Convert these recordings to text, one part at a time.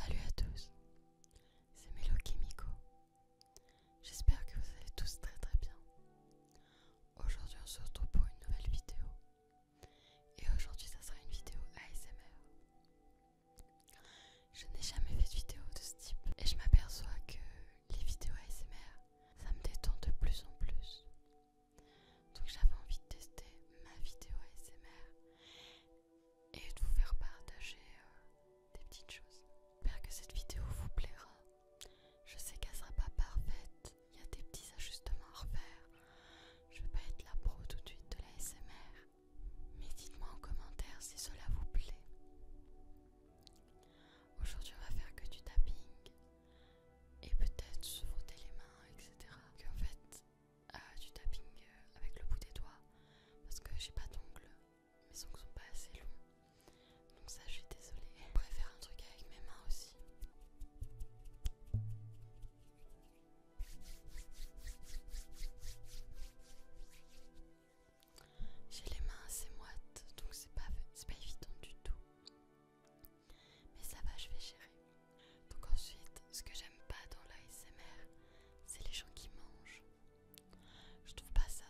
Salut à tous, c'est Melo Kimiko. J'espère que vous allez tous très très bien. Aujourd'hui on se retrouve pour une nouvelle vidéo. Et aujourd'hui ça sera une vidéo ASMR. Je n'ai jamais fait de vidéo de ce type et je m'aperçois que les vidéos ASMR ça me détend de plus en plus. Donc j'avais envie de tester ma vidéo ASMR et de vous faire partager euh, des petites choses. J'espère que cette vidéo vous plaira. Je sais qu'elle sera pas parfaite, il y a des petits ajustements à refaire. Je vais pas être la pro tout de suite de la Mais dites-moi en commentaire si cela vous plaît. Aujourd'hui on va faire que du tapping et peut-être se frotter les mains, etc. Qu'en fait du tapping euh, avec le bout des doigts parce que j'ai pas d'ongles, mes ongles sont pas assez longs donc ça je suis désolée. pourrait préfère un truc avec mes mains aussi. J'ai les mains assez moites donc c'est pas, pas évident du tout. Mais ça va, je vais gérer. Donc ensuite, ce que j'aime pas dans l'ASMR, c'est les gens qui mangent. Je trouve pas ça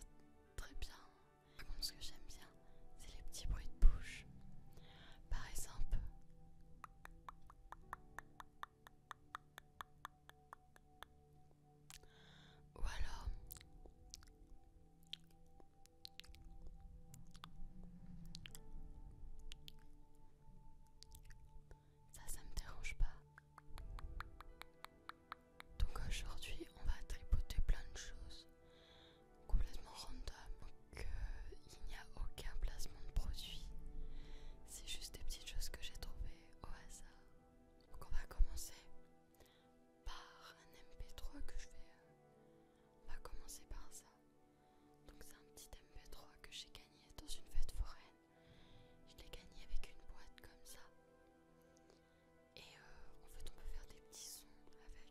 très bien. ce que j'aime bien, c'est les petits bruits de bouche. Par exemple, voilà ça, ça me dérange pas. Donc aujourd'hui, on va tripoter plein de choses complètement random. Donc euh, il n'y a aucun placement de produit. C'est juste des petites choses que j'ai trouvées au hasard. Donc on va commencer par un MP3 que je vais. Euh. On va commencer par ça. Donc c'est un petit MP3 que j'ai gagné dans une fête foraine. Je l'ai gagné avec une boîte comme ça. Et euh, en fait, on peut faire des petits sons avec.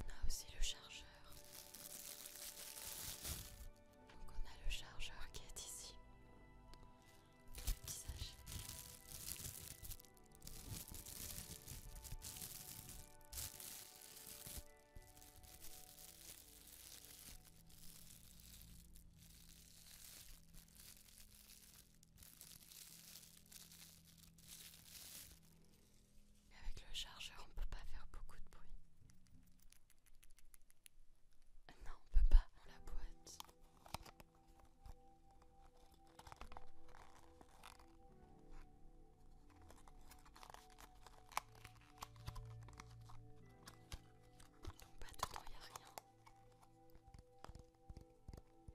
On a aussi le chargeur. Donc on a le chargeur qui est ici avec le chargeur, on peut pas faire beaucoup de bruit. Non, on peut pas dans la boîte. Donc, Pas dedans, il n'y a rien.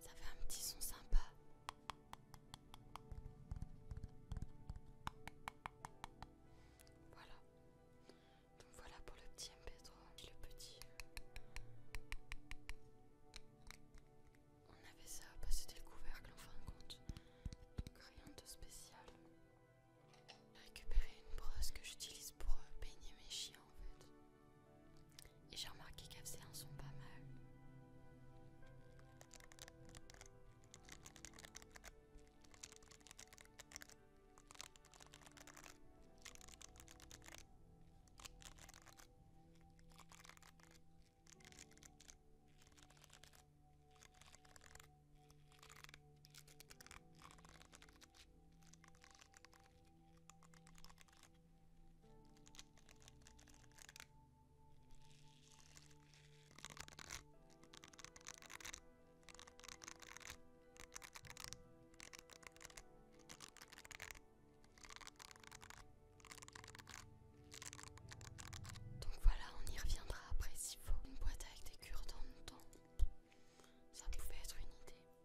Ça fait un petit son sympa. Voilà. Donc voilà pour le petit MP3 le petit. Euh, on avait ça, bah, c'était le couvercle en fin de compte. rien de spécial. Récupérer une brosse que j'utilise pour euh, baigner mes chiens en fait. Et j'ai remarqué qu'elles sont un pas mal. Donc voilà, on y reviendra après s'il faut. Une boîte avec des cure-dents ça pouvait être une idée.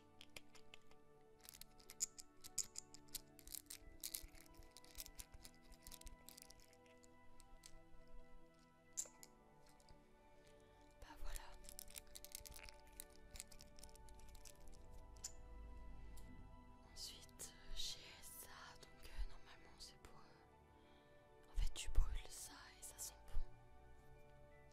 Bah voilà. Ensuite, j'ai euh, ça, donc euh, normalement c'est pour. Euh, en fait, tu brûles ça et ça sent bon.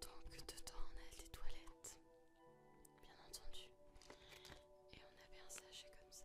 Donc dedans on a des toilettes, bien entendu, et on a bien saché comme ça.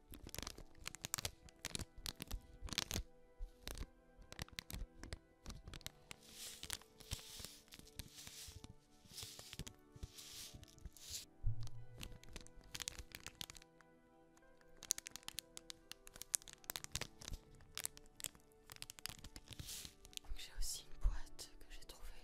j'ai aussi une boîte que j'ai trouvée.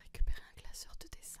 Récupérer un glaceur de dessin.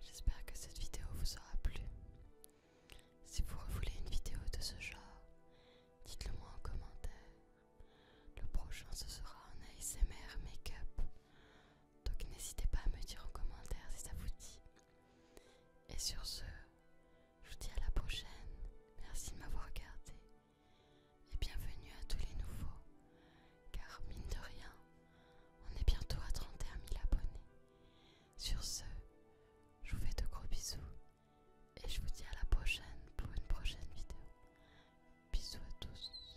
J'espère que cette vidéo vous aura plu. Si vous voulez une vidéo de ce genre, dites-le moi en commentaire. Le prochain ce sera un ASMR make-up. Donc n'hésitez pas à me dire en commentaire si ça vous dit et sur ce, je vous dis à la prochaine. Merci de m'avoir regardé. Et bienvenue à tous les nouveaux. Car mine de rien, on est bientôt à 31 000 abonnés. Sur ce, je vous fais de gros bisous. Et je vous dis à la prochaine pour une prochaine vidéo. Bisous à tous.